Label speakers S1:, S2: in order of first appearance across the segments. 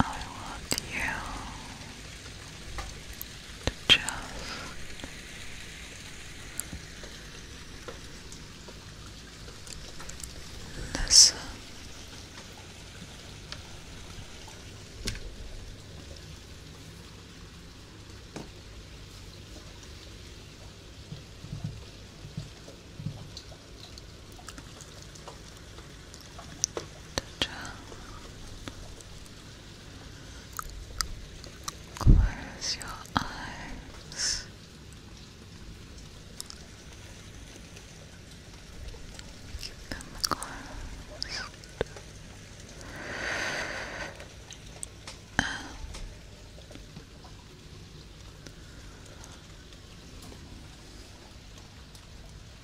S1: I want you just listen the Close your eyes. Keep them closed.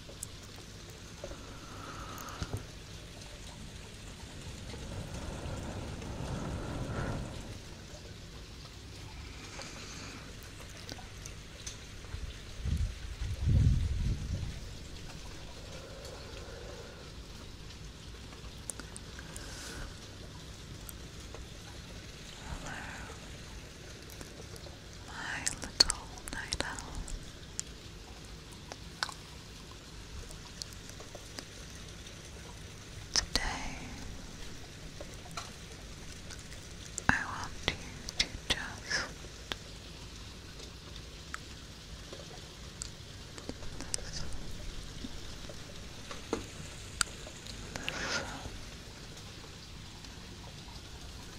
S1: Hello, my little night owl. Today, I want you to just listen, listen.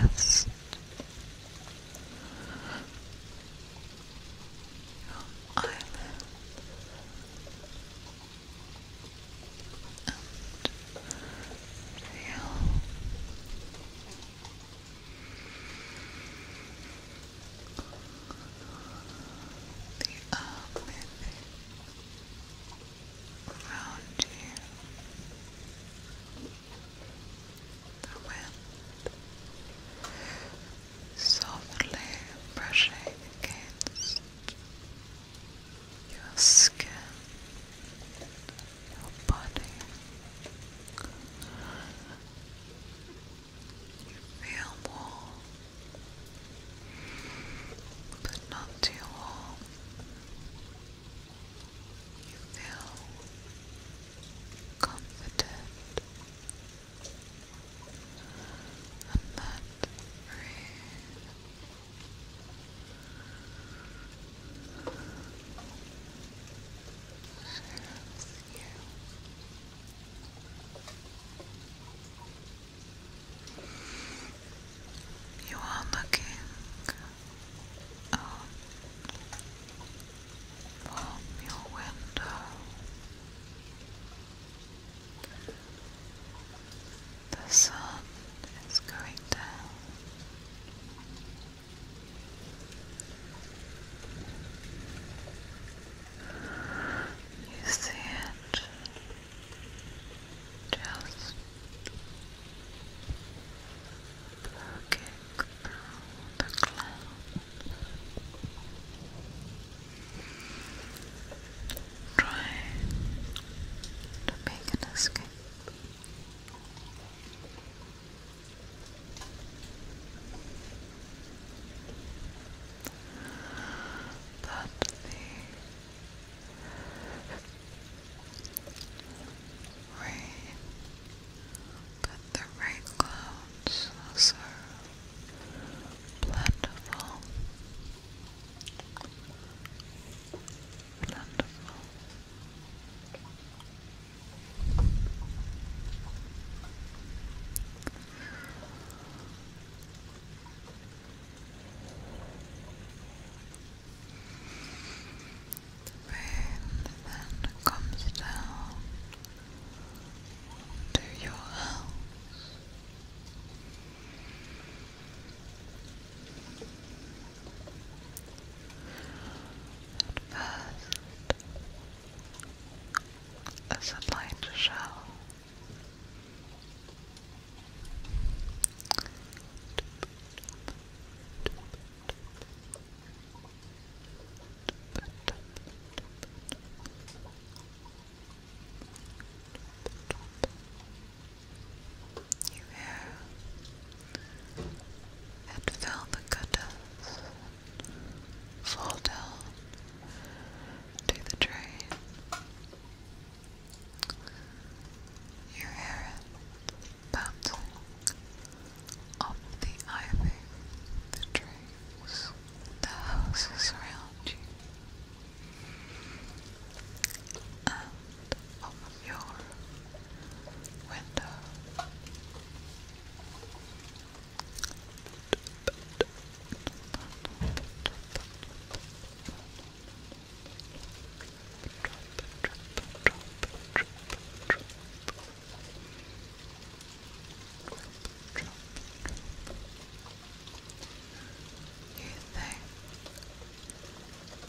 S1: Rest. Your eyelids. And feel the earth around you, the wind softly brushing against your skin, your body feel warm, but not too warm. You feel comforted, and that breeze you. You are looking out um, from your window. The sun is going down. You see it just looking through the cloud, trying to make an escape that the rain, that the rain clouds are so plentiful, the wind then comes down to your house. At first, a sunlight shell. You hear and feel the goodness fall down to the drain. You hear it bouncing the ivy, the trees, the houses around you, and of your window. You think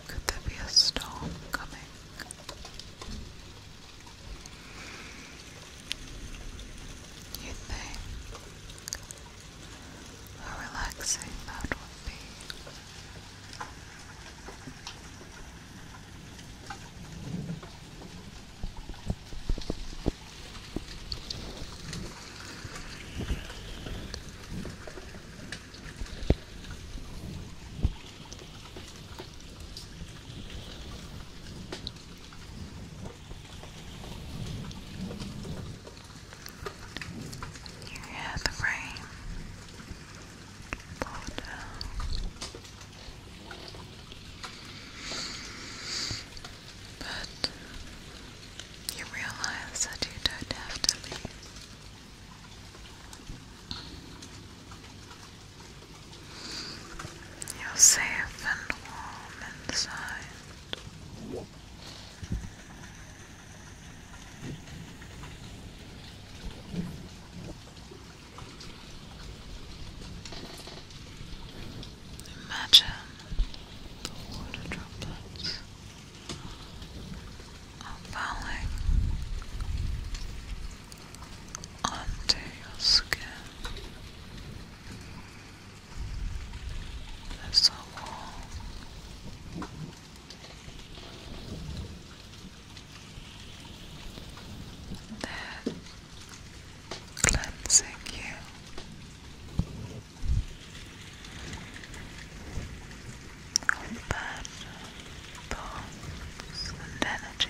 S1: could there be a storm coming? You think how relaxing that would be. You hear the rain But you realize that you don't have to leave. You're safe and warm inside. Imagine the water droplets are falling under your skin. That's so warm. cleansing you bad thoughts and energy.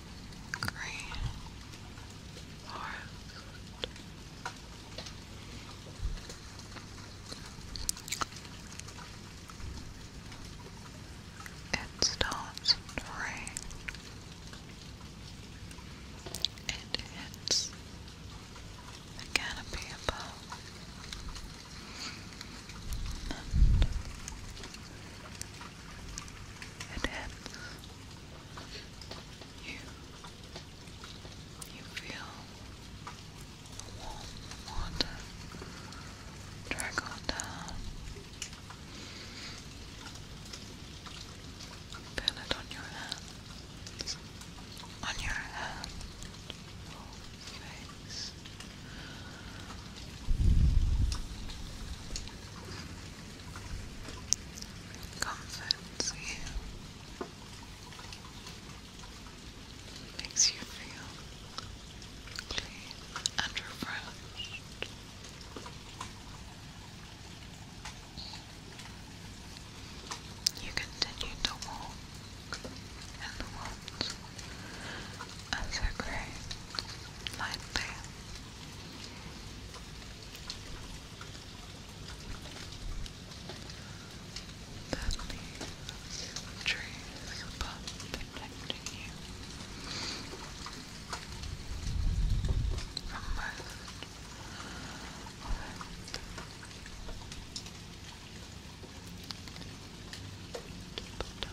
S1: green forest. It starts to It hits the canopy above and hence you you feel warm water trickle down. Feel it on your hands, on your hand, face, comforts you, makes you feel clean and refreshed. You continue to walk in the woods as a great light
S2: that leaves trees above protecting you from most of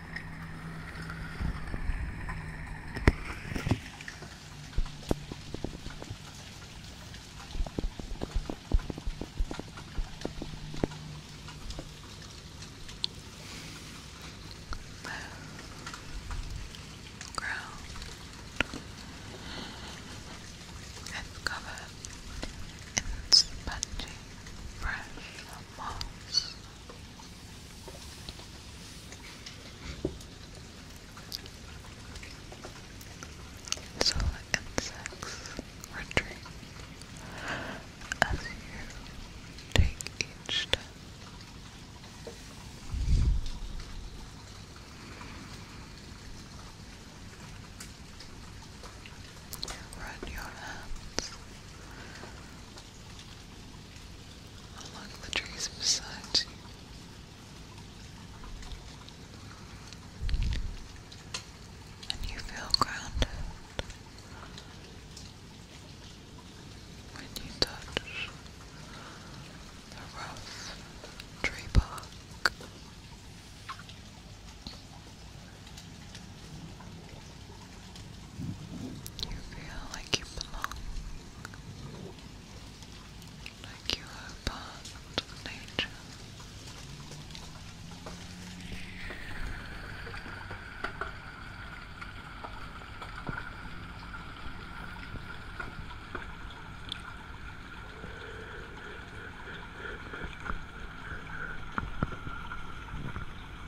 S2: ground is covered in spongy, fresh moss. So insects retreat as you take each step. Run your hands along the trees beside you. And you feel grounded when you touch the rough tree bark. You feel like you belong, like you are part of
S3: nature.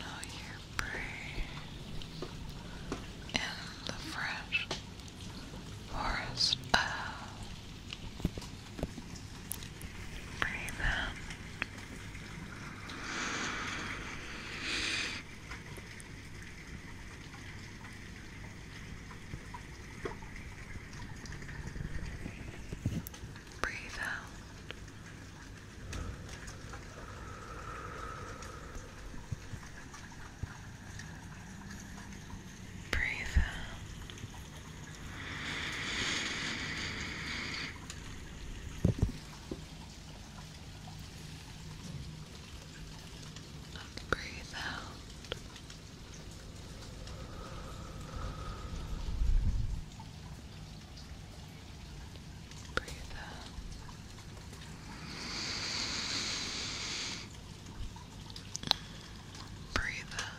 S3: Know you prey in the fresh forest of breathe in. Breathe out. Breathe and breathe out. Breathe out. Breathe out.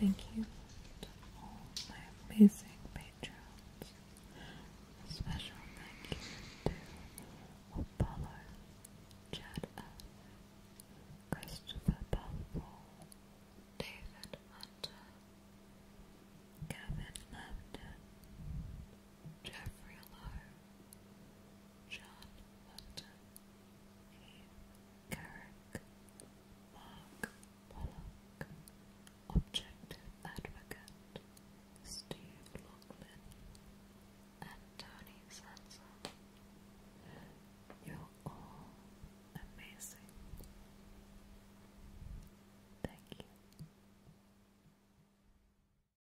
S4: Thank you to my amazing patrons. special thank you to Apollo, Chad Christopher David Hunter, Gavin Lambton, John Milton, Eve Carrick, Mark Pollock, Objective Advocate, Steve Loughlin, and Tony Sanson. You're all amazing. Thank you.